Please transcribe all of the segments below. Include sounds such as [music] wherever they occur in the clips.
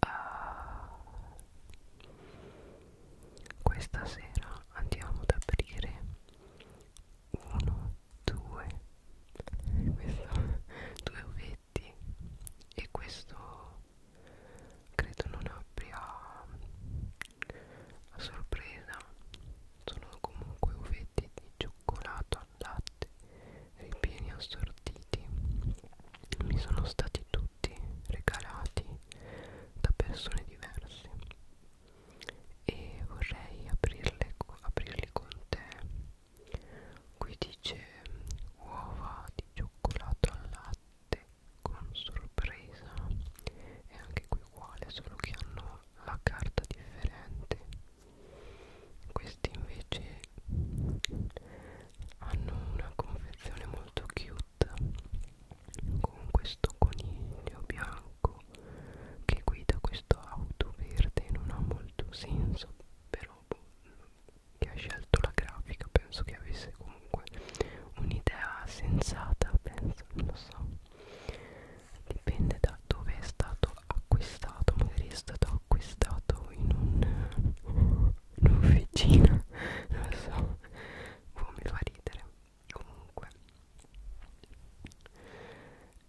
uh, questa sera andiamo ad aprire uno, due questo, [laughs] due ovetti e questo credo non abbia a sorpresa sono comunque uvetti di cioccolato al latte ripieni assortiti mi sono stati tutti regalati da persone diverse e vorrei aprirle, aprirli con te qui dice uova di cioccolato al latte con sorpresa e anche qui uguale solo che hanno la carta differente questi invece hanno una confezione molto cute con questo coniglio bianco che guida questo auto verde non ha molto senso però boh, chi ha scelto la grafica penso che avesse comunque un'idea sensata penso non lo so dipende da dove è stato acquistato magari è stato acquistato in un l'officina non lo so boh, mi fa ridere comunque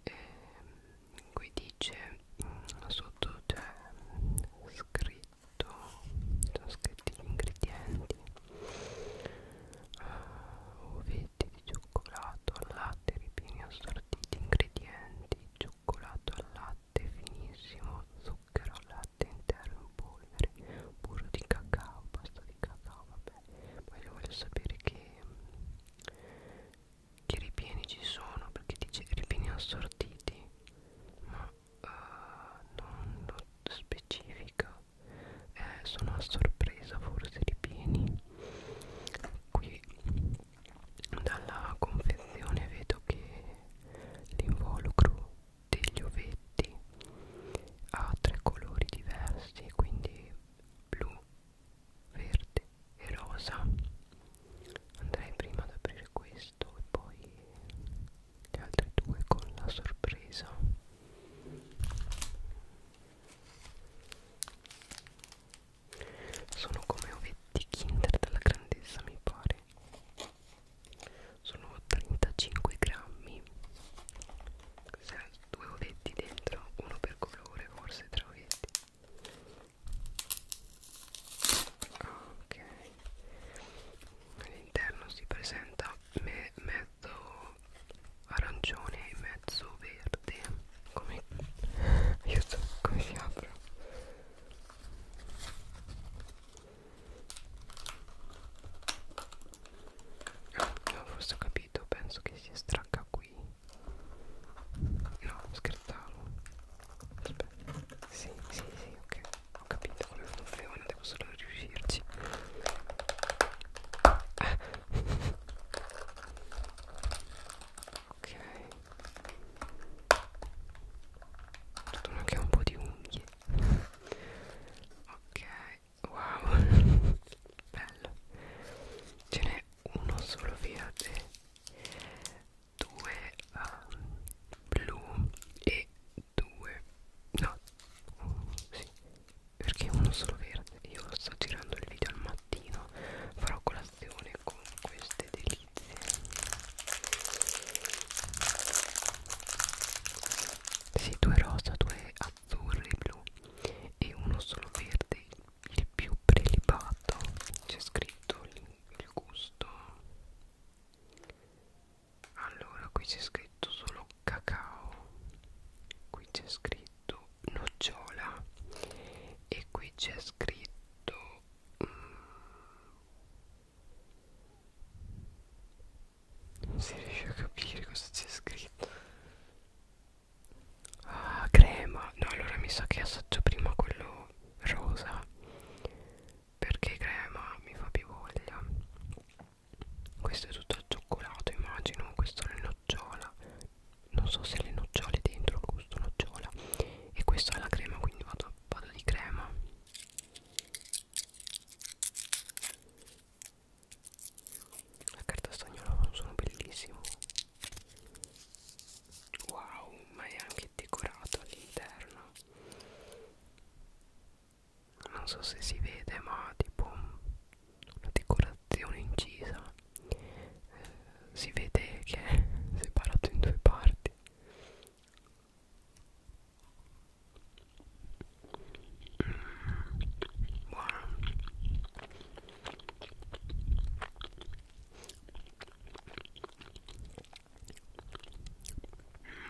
e, ehm, qui dice mm, sotto c'è scritto sono scritti gli ingredienti uh, ah, ovetti di cioccolato latte ripieni assortiti ingredienti cioccolato cioccolato al latte finissimo, zucchero al latte intero in polvere, burro di cacao, pasta di cacao, vabbè. Poi io voglio sapere che, che ripieni ci sono, perché dice ripieni assortiti, ma uh, non lo specifica. Eh, sono a sorpresa forse ripieni. Qui dalla confezione vedo che l'involucro degli ovetti ha tre colori diversi quindi blu, verde e rosa andrei prima ad aprire questo e poi le altre due con la sorpresa sono come ovetti kinder della grandezza mi pare sono 35 grammi 6, due ovetti dentro uno per colore forse tre ovetti ok all'interno si presenta me mezzo arancione e mezzo verde come aiuto come si apre Ah, no, forse ho capito, penso che si estragga qui. No, scherzavo. Aspetta. Sì, sì, sì, ok. Ho capito come funziona, devo solo riuscirci. Ah. [laughs] ok Fortuna che ho un po' di unghie Ok, wow [laughs] Bello Ce n'è uno solo verde Due um, blu E due No um, sì. Perché uno solo verde Io sto girando il video al mattino Farò colazione con queste delizie notizie sì, due rosa, due azzurri, blu e uno solo verde, il più prelibato c'è scritto il gusto allora qui c'è scritto solo cacao qui c'è scritto nocciola e qui c'è scritto mm, non si riesce a capire cosa c'è scritto Ah crema No allora mi sa che assaggio prima quello rosa Perché crema mi fa più voglia Questo è tutto al cioccolato immagino Questo è la nocciola Non so se le nocciole dentro il gusto nocciola E questa è la crema quindi vado, vado di crema la carta stagnola ha un suono bellissimo. Wow, ma è anche decorato all'interno. Non so se si vede, ma tipo una decorazione incisa. Eh, si vede che è separato in due parti buono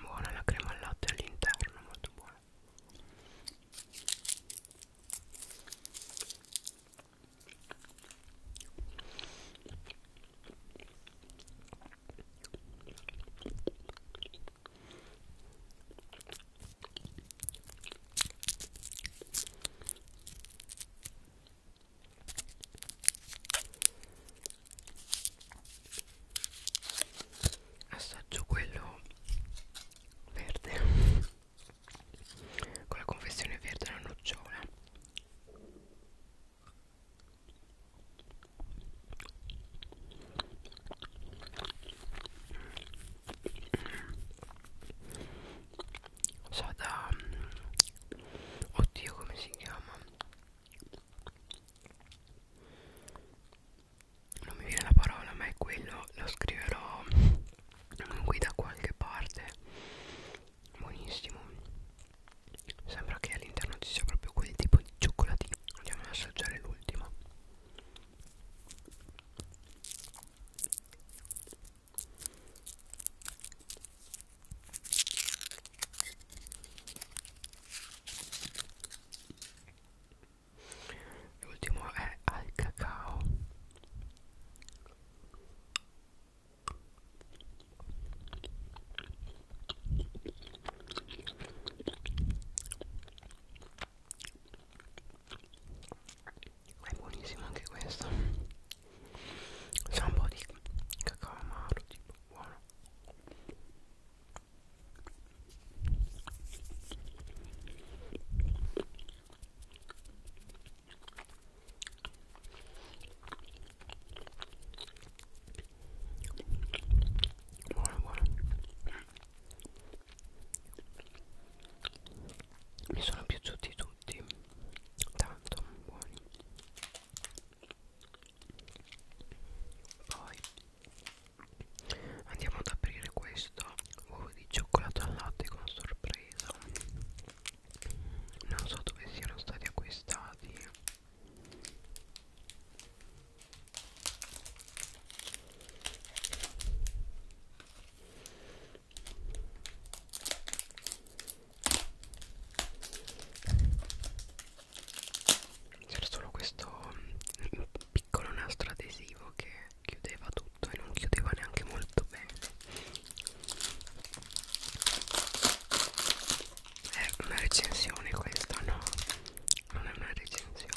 buona la crema al latte all'interno molto buona assaggio quello verde con la confessione verde e la nocciola sa da mm, oddio come si chiama non mi viene la parola ma è quello lo scriverò qui da qualche parte buonissimo Sembra che all'interno ci sia proprio quel tipo di cioccolatino Andiamo ad assaggiare l'ultimo L'ultimo è al cacao è buonissimo anche questo c'è un po' di cacao amaro tipo buono buono buono mi sono piaciuti tutti tanto buoni poi andiamo ad aprire questo uovo di cioccolato al latte con sorpresa non so dove siano stati acquistati c'era solo questo piccolo nastro adesivo che chiudeva tutto e non chiudeva neanche molto bene è una recensione questa no non è una recensione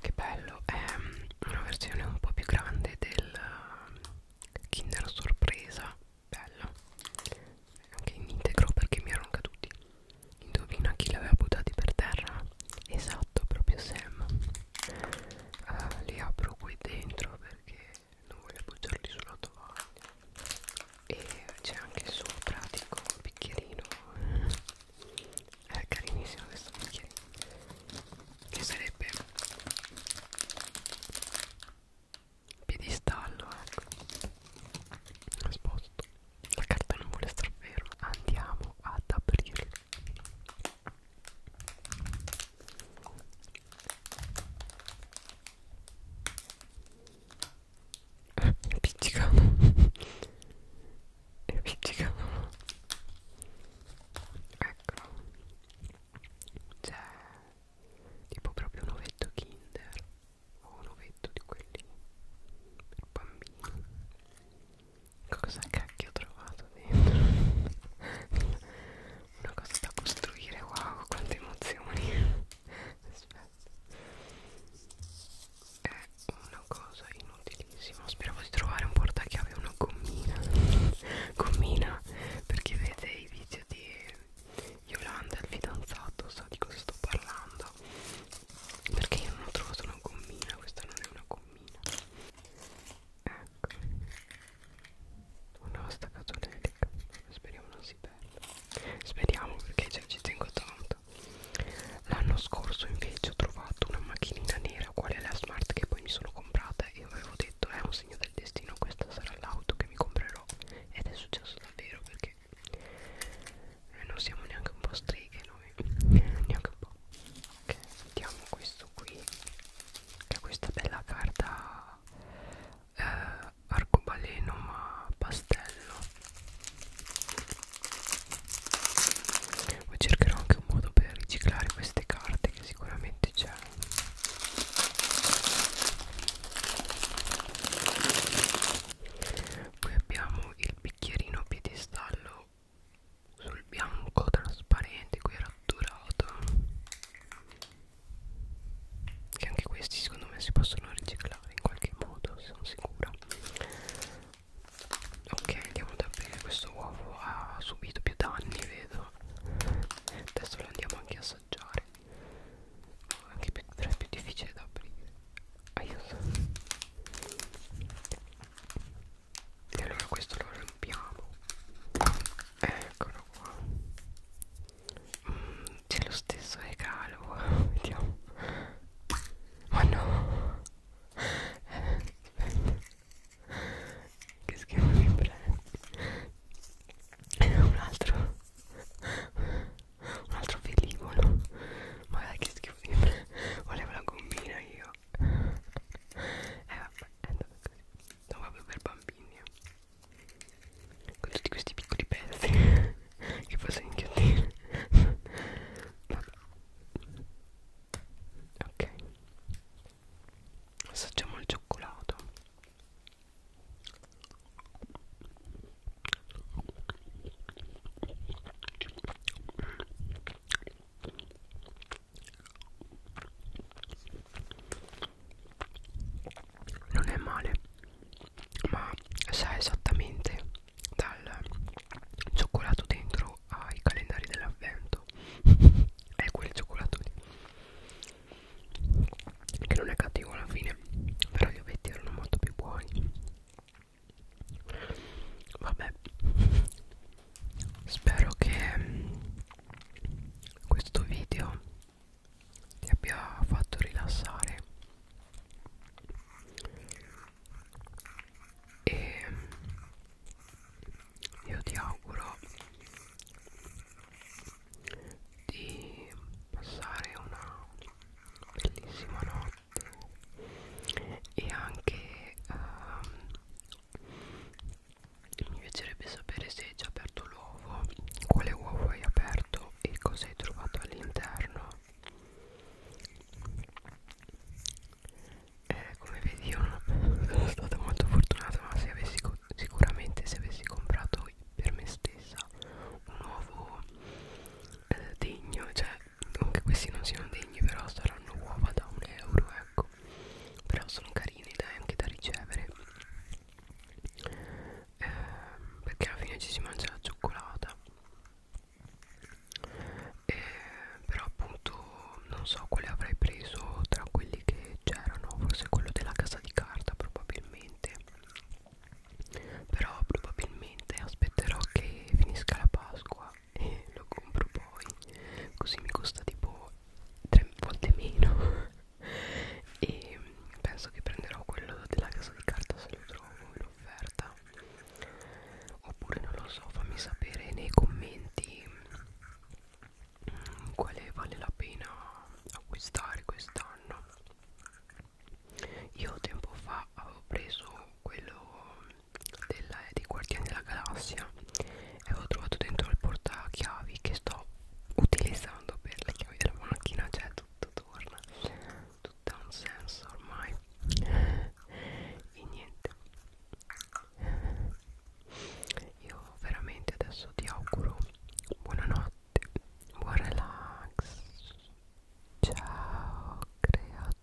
che bello è una versione un po' più grande del eh, Kinder Sorpresa bello anche in integro perché mi erano caduti indovina chi li aveva buttati per terra esatto proprio Sam uh, li apro qui dentro perché non voglio appoggiarli sulla tovaglia e c'è anche sopra dico un bicchierino è carinissimo questo bicchierino che sarebbe piedistallo ecco sposto la carta non vuole star ferma andiamo ad aprirlo eh, pizzica e pizzica eccolo c'è tipo proprio un ovetto kinder o un ovetto di quelli per bambini cosa cacchio ho trovato dentro [laughs] una cosa da costruire wow quante emozioni aspetta è una cosa inutilissima speravo di trovare un portachiave una gommina gommina perché vede i video di Yolanda il fidanzato so di cosa sto parlando perché io non ho trovato una gommina questa non è una gommina cammina ecco una vostra catolelica speriamo non si perda speriamo perché cioè, ci tengo tanto l'anno scorso invece ho trovato una macchinina nera quale la smart che poi mi sono comprata e avevo detto è un segno del destino questa sarà l'auto che mi comprerò ed è successo davvero perché noi eh, non siamo neanche un po' streghe noi [laughs] neanche un po' Ecco. ok sentiamo questo qui che è questa bella carta eh, arcobaleno ma pastello poi cercherò anche un modo per riciclare queste carte che sicuramente c'è poi abbiamo il bicchierino piedistallo sul bianco trasparente qui ratturato che anche questi secondo me si possono riciclare in qualche modo sono sicura ok andiamo da bere questo uovo ha subito più danni vedo adesso lo andiamo anche a assaggiare anche più, però è più difficile da aprire aiuto e allora questo lo riempiamo eccolo qua mm, c'è lo stesso regalo [laughs] vediamo ma no che schifo mi prende un altro un altro velivolo ma dai che schifo mi prende volevo la gommina io eh vabbè, è andato così. No, proprio per bambini. Eh. Con tutti questi piccoli pezzi [laughs] che posso inghiottire. vabbè. Ok. Assaggiamo il cioccolato non è male ma sa esattamente dal cioccolato dentro ai calendari dell'avvento [laughs] è quel cioccolato lì che non è cattivo alla fine però gli ovetti erano molto più buoni vabbè spero che mm, questo video ti abbia fatto rilassare e mm, io ti auguro di passare una bellissima notte e anche um, mi piacerebbe sapere se hai già aperto l'uovo quale uovo hai aperto e cosa hai trovato all'interno eh, come vedi io non sono stata molto fortunata ma se avessi, sicuramente se avessi comprato per me stessa un uovo eh, degno cioè non che questi non siano degni però saranno uova da un euro ecco no però sono carini dai anche da ricevere eh, perché alla fine ci si mangia la cioccolata eh, però appunto non so quale avrei preso tra quelli che c'erano forse quello della casa di carta probabilmente però probabilmente aspetterò che finisca la Pasqua e lo compro poi così mi costa tipo tre volte meno [laughs] e penso che prenderò quello della casa di carta se lo trovo in offerta oppure non lo so fammi sapere nei commenti mm, quale vale la pena acquistare quest'anno io tempo fa avevo preso quello della, eh, dei Guardiani della Galassia e avevo trovato dentro il portachiavi che sto utilizzando per le chiavi della monachina cioè tutto torna tutto ha un senso ormai e niente io veramente adesso ti auguro buonanotte buon relax ciao creatura